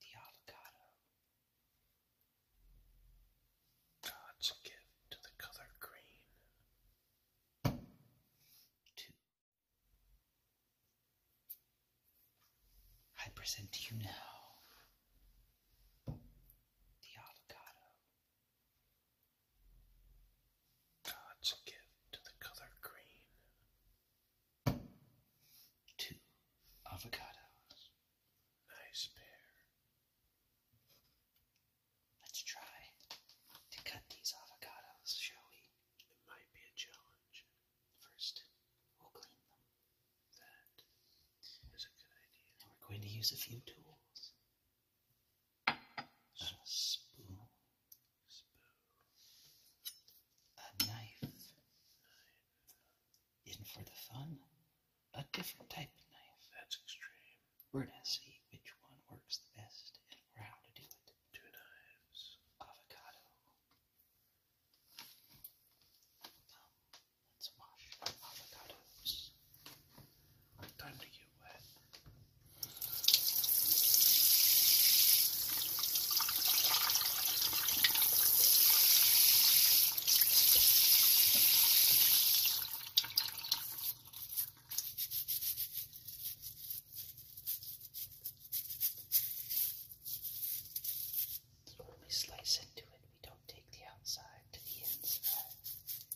The avocado. God's gift to the color green. Two. I present to you now the avocado. God's gift to the color green. Two avocados. Nice pair. Let's try to cut these avocados, shall we? It might be a challenge. First, we'll clean them. That is a good idea. And we're going to use a few tools a spoon, a knife, is for the fun, a different type knife. That's extreme. We're gonna see which one works the best and how to do it. Two knives, avocado. let's wash avocados. Time to get wet. when we slice into it, we don't take the outside to the inside.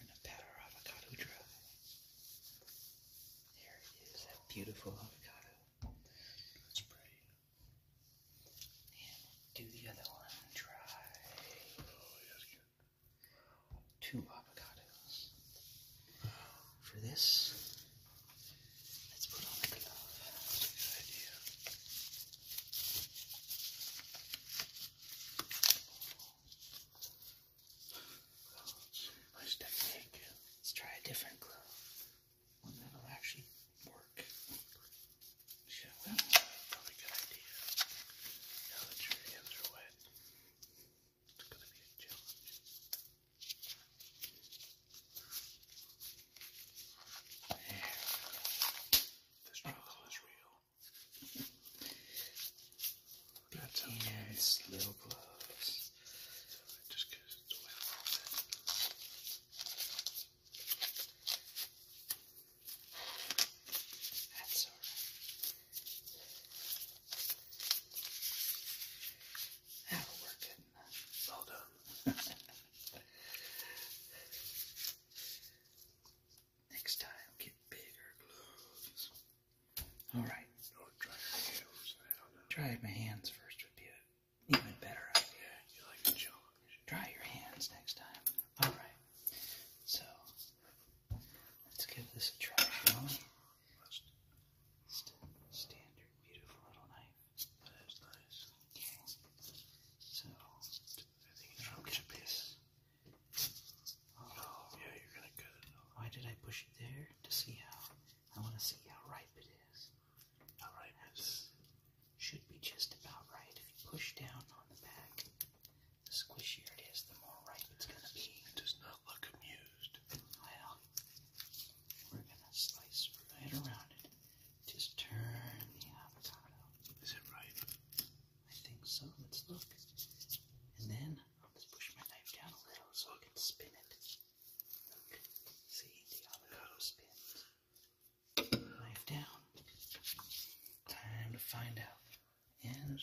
we pat our avocado dry. There that beautiful avocado. Let's spray. And do the other one dry. Two avocados. For this, let's put on a glove. good idea. Let's try a different glove. One that'll actually work. Probably a good idea. Now that your hands are wet, it's gonna be a challenge. This struggle is real. That's a nice little gloves. That's alright. That'll Well done. Next time, get bigger gloves. All right. Or try your hands. I don't know. Try my hands first with you. even better idea. you like the challenge. Try your hands next time. All right. So let's give this a try, Standard, beautiful little knife. Okay. So I think it's from this. Oh, Why did I push it there? To see how. I want to see how ripe it is. How ripe Should be just about right. If you push down on the back, the squishier it is, the more ripe it's gonna be. It look amused. Well, we're gonna slice right around it. Just turn the avocado. Is it ripe? I think so. Let's look. And then I'll just push my knife down a little so I can spin it. See, the avocado spins. Knife down. Time to find out. And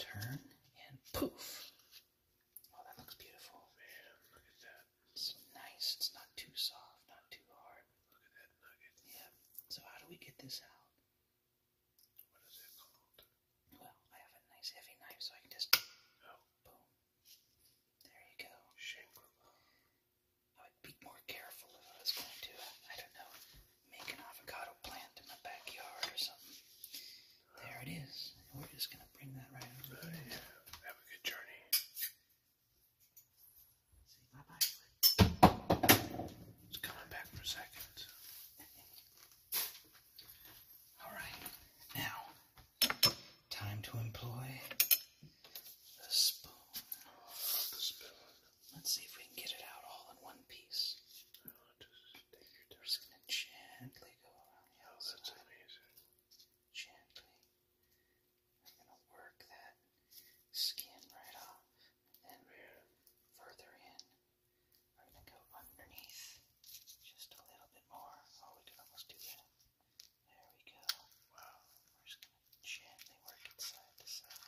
Turn and poof. Oh, that looks beautiful. Man, look at that. It's nice. It's not too soft, not too hard. Look at that nugget. Yeah. So how do we get this out? What is it called? Well, I have a nice heavy knife, so I can just oh. boom. There you go. I would be more careful if I was going to, I don't know, make an avocado plant in my backyard or something. there it is. we're just going to bring that right over. Uh, Have a good journey. See, bye bye. It's coming back for a second. Alright, now time to employ the spoon. Let's see if we can get it out all in one piece. Oh, just, just gonna gently go around the oh, outside. Gently. I'm gonna work that skin right off and further in. We're going to go underneath just a little bit more. Oh, we can almost do that. There we go. Wow. We're just going to gently work it to side.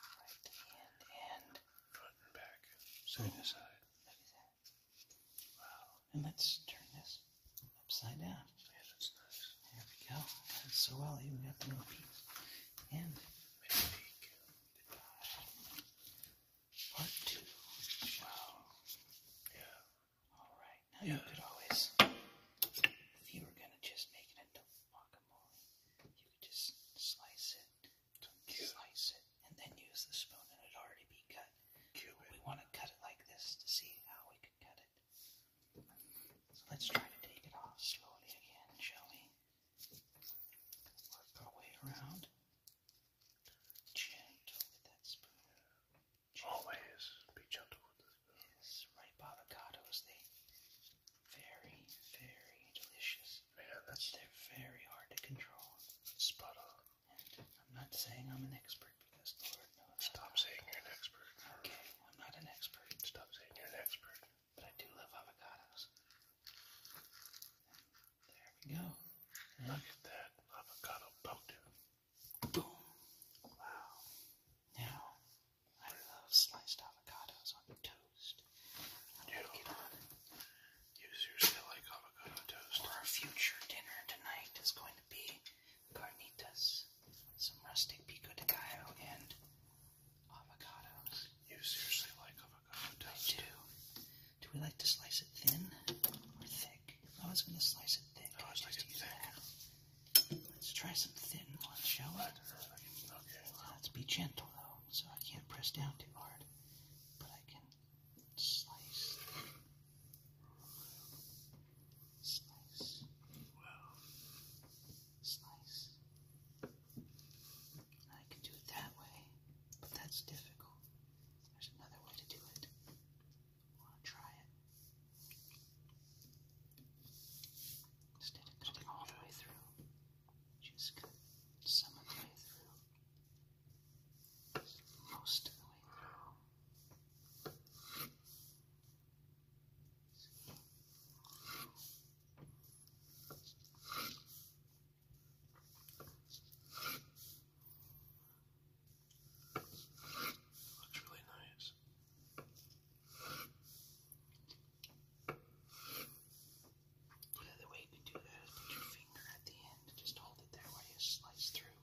Right to the end. And front back. Side to side. Wow. And let's turn this upside down. Yeah, that's nice. There we go. so well. Even got the little piece. And mistake. two. Wow. Yeah. All right. you could always, if you were gonna just make it into guacamole, you could just slice it, slice it, and then use the spoon, and it'd already be cut. We want to cut it like this to see how we could cut it. So let's try to take it off slowly again, shall we? Work our way around. Gentle with that spoon. Gentle. Always be gentle with the spoon. Yes, ripe avocados, they very, very delicious. Man, that's they're very hard to control. Spot on. And I'm not saying I'm an expert because Lord knows. Stop saying you're an expert. Okay, I'm not an expert. Stop saying you're an expert but I do love avocados. there we go. Look at that avocado boat. Boom. Wow. Now, I love sliced avocados on toast. You, like you seriously like avocado toast? Our future dinner tonight is going to be carnitas, some rustic pico de gallo, and Avocados. You seriously like avocado I do. Do we like to slice it thin or thick? I was going to slice it thick. I was like it Let's try some thin ones, shall we? Let's be gentle though, so I can't press down too hard, but I can slice. Slice. Slice. I can do it that way, but that's difficult. There's another way to do it. Want to try it? Instead of cutting all the way through, just cut some of the way through. Most of the way through. Looks really nice. Yeah, way you can do that is put your finger at the end just hold it there while you slice through.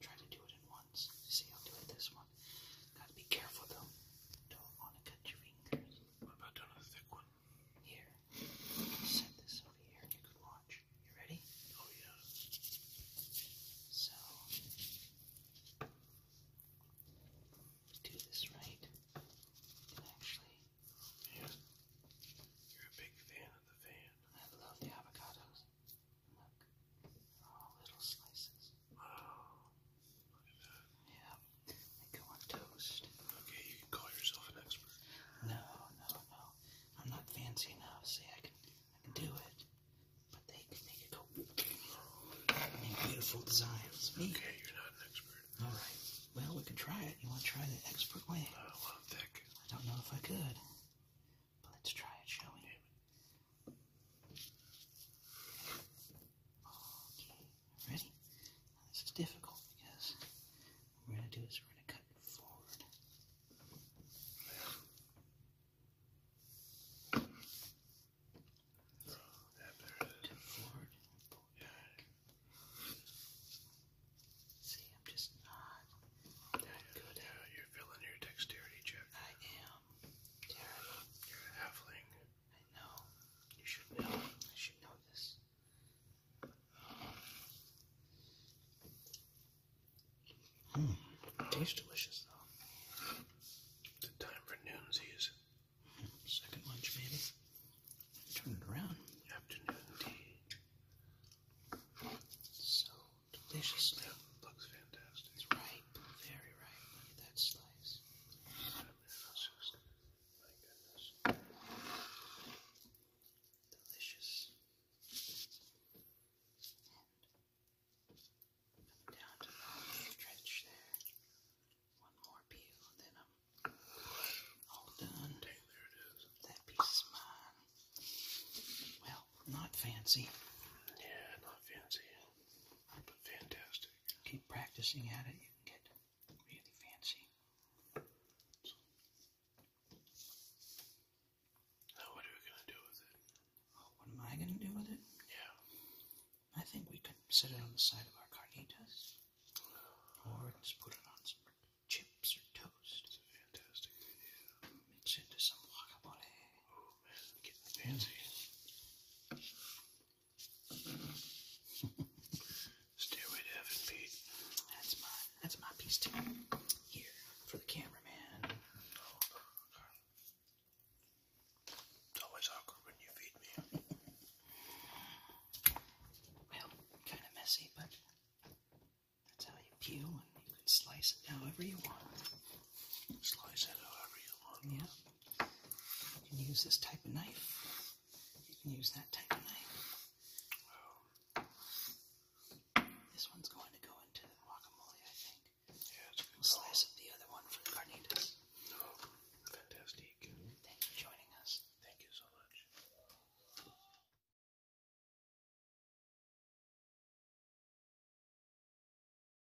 Try to do it in once. See, I'll do this one. Gotta be careful though. Don't want to cut your fingers. I'm about to do a thick one? Here. Set this over here and you can watch. You ready? Oh, yeah. So, do this right. And actually, you're a big fan of the fan. I love the avocados. Look, all little slices. Yeah. They go on toast. Okay, you can call yourself an expert. No, no, no. I'm not fancy enough. See, I can, I can do it. But they can make it go. beautiful designs. Okay, you're not an expert. All right. Well, we can try it. You want to try the expert way? Uh, I'm thick. I don't know if I could. But let's try it, shall we? Okay, ready? this is difficult because we're going to do is we're going to cut forward. forward See, I'm just not that yeah, good yeah, at You're filling your dexterity check. I am You're a halfling. I know. You should know. I should know this. Mm, tastes delicious, though. It's time for noonsies. second lunch, maybe. Turn around. Afternoon tea. So delicious. Yeah, looks fantastic. It's ripe. Very ripe. Look Delicious. down to the stretch there. One more peel, then I'm all done. there it is. That piece is mine. Well, not fancy. Yeah, not fancy, but fantastic keep practicing at it, you can get really fancy. Now, what are we going to do with it? Oh, what am I going to do with it? Yeah. I think we could set it on the side of our carnitas. Or just put it on some chips or toast. That's a fantastic idea. Mix into some guacamole. Stairway to heaven, Pete. That's my that's my piece too. Here for the cameraman. always awkward when you feed me. well, kind of messy, but that's how you peel, and you can slice it however you want slice it however you want. Yeah. You can use this type of knife. You can use that type of knife. This one's going to go into the guacamole, I think. Yeah, slice up the other one for the carnitas. Oh, fantastic. Thank you for joining us. Thank you so much.